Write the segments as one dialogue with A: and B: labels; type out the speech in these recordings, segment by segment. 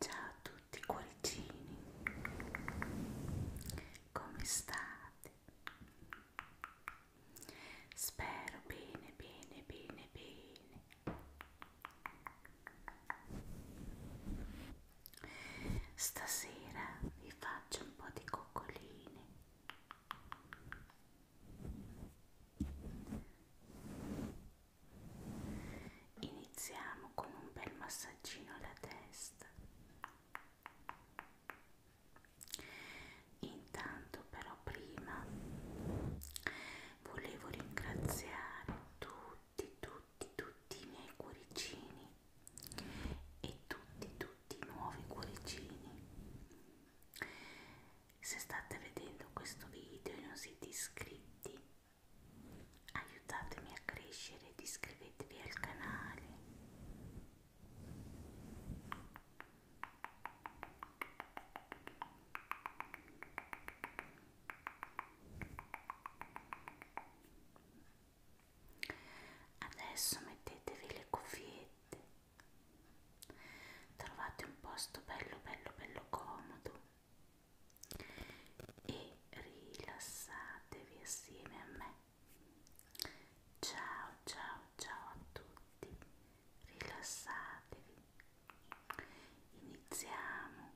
A: Ciao a tutti cuoricini, come state? Spero bene, bene, bene, bene. Stasera vi faccio un po' di coccoline. Iniziamo con un bel massaggino alla testa. Intanto però prima volevo ringraziare tutti tutti, tutti, tutti i miei cuoricini e tutti, tutti i nuovi cuoricini. Se state vedendo questo video e non siete iscritti, aiutatemi a crescere ed iscrivetevi al canale. Adesso mettetevi le cuffiette, trovate un posto bello bello bello comodo e rilassatevi assieme a me. Ciao ciao ciao a tutti, rilassatevi, iniziamo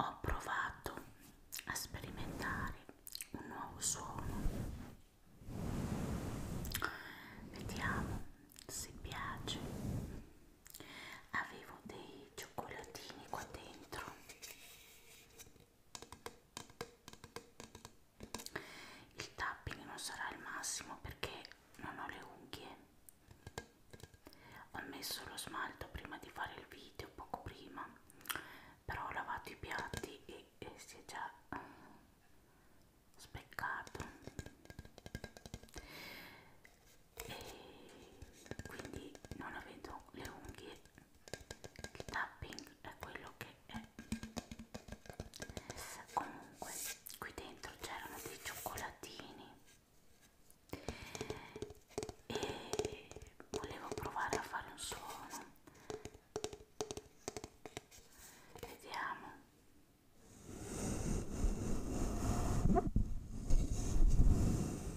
A: Ho provato a sperimentare un nuovo suono. Vediamo se piace. Avevo dei cioccolatini qua dentro il tapping non sarà il massimo perché non ho le unghie ho messo lo smalto prima di fare il video poco prima però ho lavato i piatti e, e si è già speccato e quindi non avendo le unghie il tapping è quello che è comunque qui dentro c'erano dei cioccolatini e volevo provare a fare un suono vediamo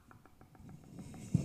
A: rilassati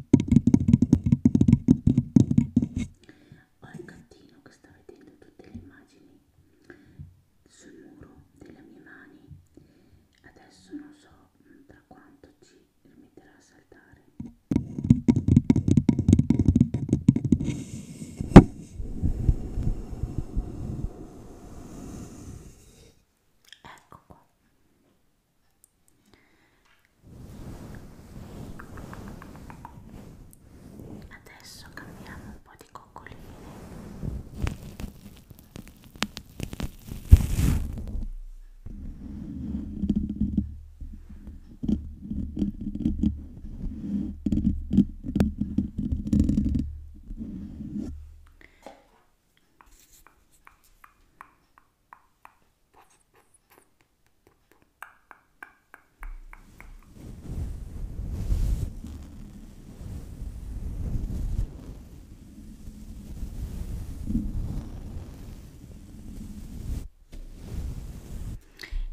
A: Ho il gattino che sta vedendo tutte le immagini sul muro delle mie mani. Adesso non so mm, tra quanto ci rimetterà a saltare. Ecco qua. Adesso cambiamo un po' di coccoline.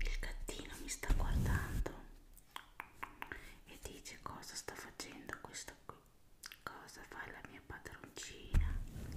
A: Il gattino mi sta guardando e dice cosa sta facendo questa qui cosa fa la mia padroncina Shhh.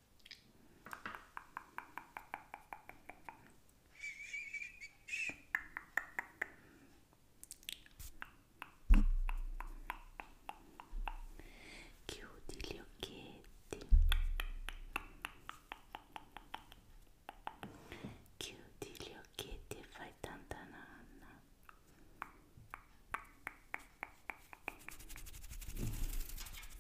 A: Chiudi gli occhietti. Chiudi gli occhietti e fai tanta nanna. Chiudi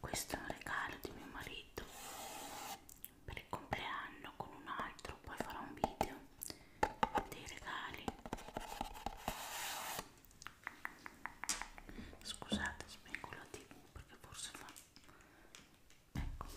A: Questo è un regalo di mio marito per il compleanno con un altro, poi farò un video dei regali. Scusate, spengo la tv perché forse fa ecco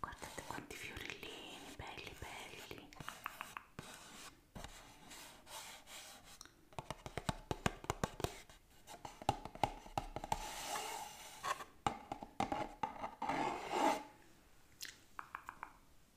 A: Guardate quanti fiorellini belli belli.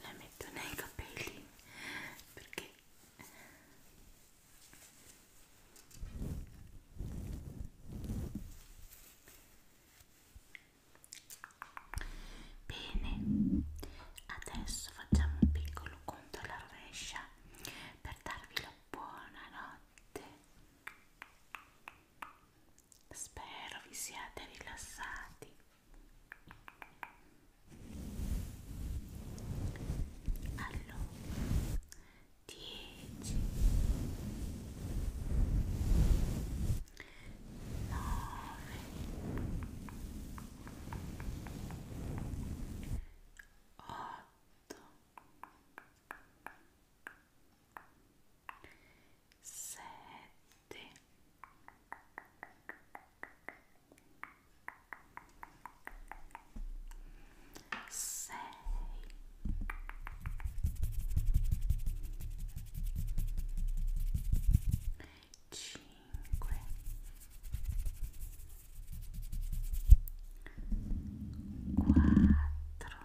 A: La metto nei capelli perché Bene, adesso facciamo un piccolo conto alla rovescia per darvi la buonanotte. Spero vi siate rilassati allora 10 9 8 7 6 5 4 3 2 1 sei cinque quattro tre